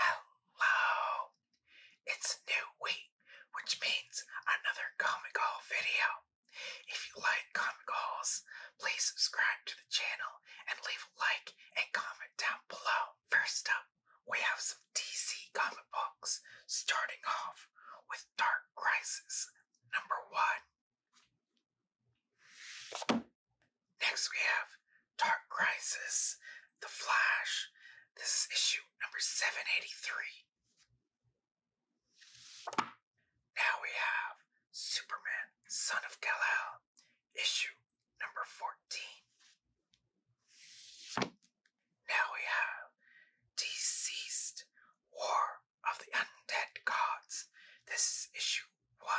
Hello! It's new week, which means another Comic Haul video. If you like Comic Hauls, please subscribe to the channel and leave a like and comment down below. First up, we have some DC comic books, starting off with Dark Crisis number one. Next, we have Dark Crisis, The Flash. This is issue number 783. Now we have Superman, Son of Kal-El, issue number 14. Now we have Deceased, War of the Undead Gods. This is issue 1.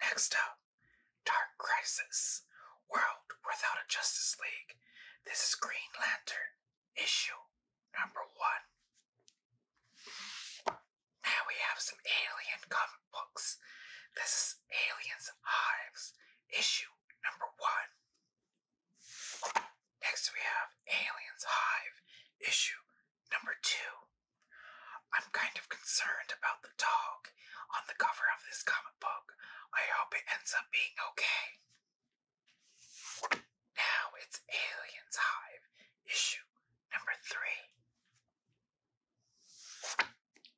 Next up, Dark Crisis World Without a Justice League. This is Green Lantern, issue number one. Now we have some alien comic books. This is Aliens Hive, issue number one. Next we have Aliens Hive, issue Number two, I'm kind of concerned about the dog on the cover of this comic book. I hope it ends up being okay. Now it's Aliens Hive, issue number three.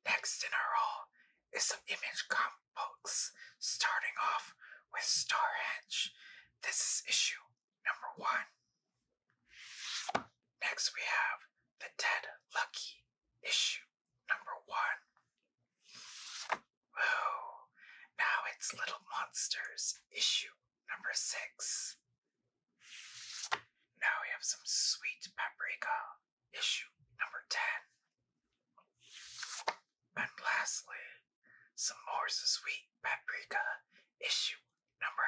Next in our haul is some image comic books, starting off with Star This is issue number one. Next, we have the Dead Lucky issue number one. now it's Little Monsters issue number six. Now we have some sweet paprika issue number 10. And lastly, some more sweet paprika issue number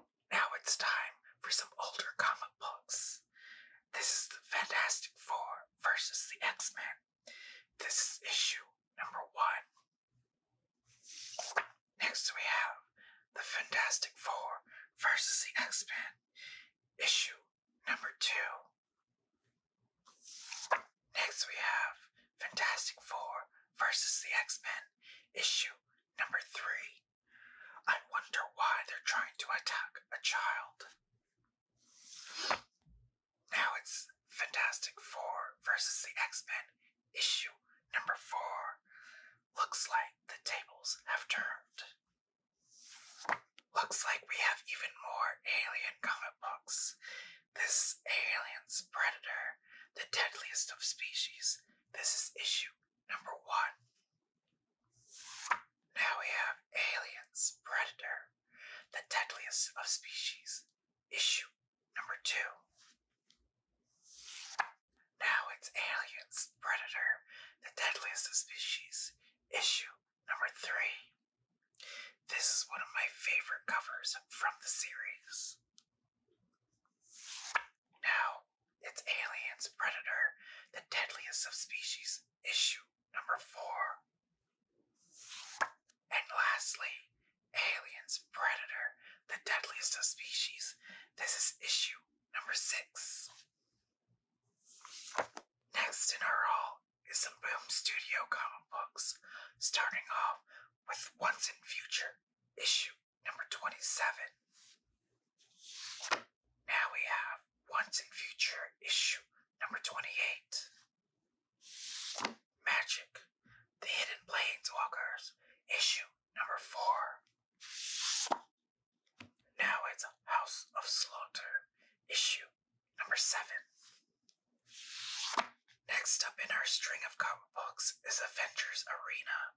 11. Now it's time for some older comic books. This is the Fantastic Four versus the X Men. This is issue number one. Next, we have the Fantastic Four versus the X Men, issue number two. Next, we have Fantastic Four versus the X Men, issue number three. I wonder why they're trying to attack a child. Now it's Fantastic Four versus the X Men, issue number four. Looks like the tables have turned. Looks like we have even more alien comic books. This Aliens Predator, the deadliest of species. This is issue number one. Now we have Aliens Predator, the deadliest of species. Issue number two. Now it's Aliens Predator, the deadliest of species. Issue number three. This is one of my favorite covers from the series. Now, it's Aliens Predator, the deadliest of species, issue number four. And lastly, Aliens Predator, the deadliest of species. This is issue number six. Next in our haul is some Boom Studio comic books, starting off with Once in Future, issue number 27. Now we have Once in Future, issue number 28. Magic, The Hidden Planeswalkers, issue number 4. Now it's House of Slaughter, issue number seven. Next up in our string of comic books is Avengers Arena.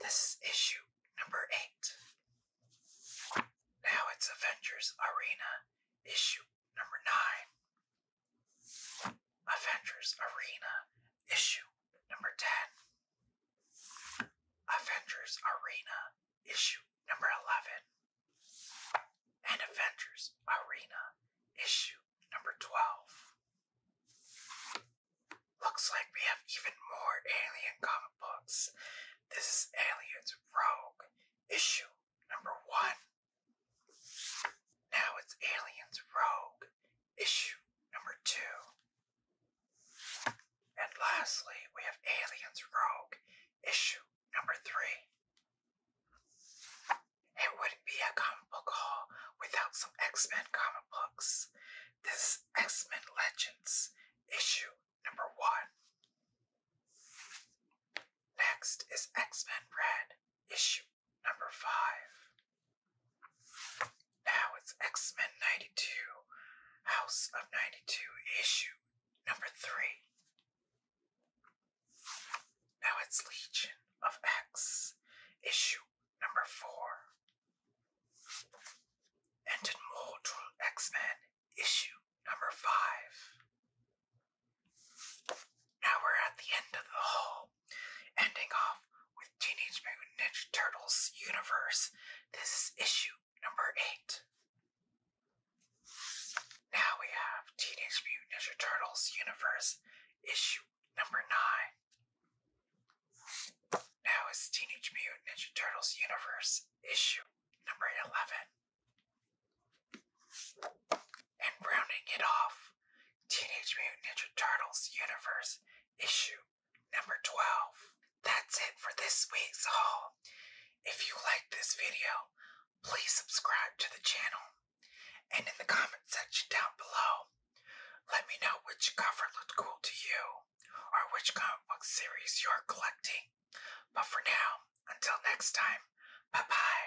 This is issue number eight. Now it's Avengers Arena, issue number nine. Avengers Arena, issue number ten. Avengers Arena, issue number 11, and Avengers Arena, issue number 12. Looks like we have even more alien comic books. This is Aliens Rogue, issue number 1. Now it's Aliens Rogue, issue number two. And lastly, we have Aliens Rogue, issue number three. It wouldn't be a comic book haul without some X Men comic books. This X Men Legends, issue number one. Next is X Men Red, issue Number five. Now it's X Men 92, House of 92, issue number three. Now it's Legion of X, issue number four. And Immortal X Men, issue number five. Now we're at the end of the whole Ending off with Teenage Mutant Ninja Turtles Universe. This is issue number 8. Now we have Teenage Mutant Ninja Turtles Universe, issue number 9. Now it's Teenage Mutant Ninja Turtles Universe, issue number 11. And rounding it off Teenage Mutant Ninja Turtles Universe issue number 12. That's it for this week's haul. If you like this video, please subscribe to the channel. And in the comment section down below, let me know which cover looked cool to you or which comic book series you're collecting. But for now, until next time, bye bye.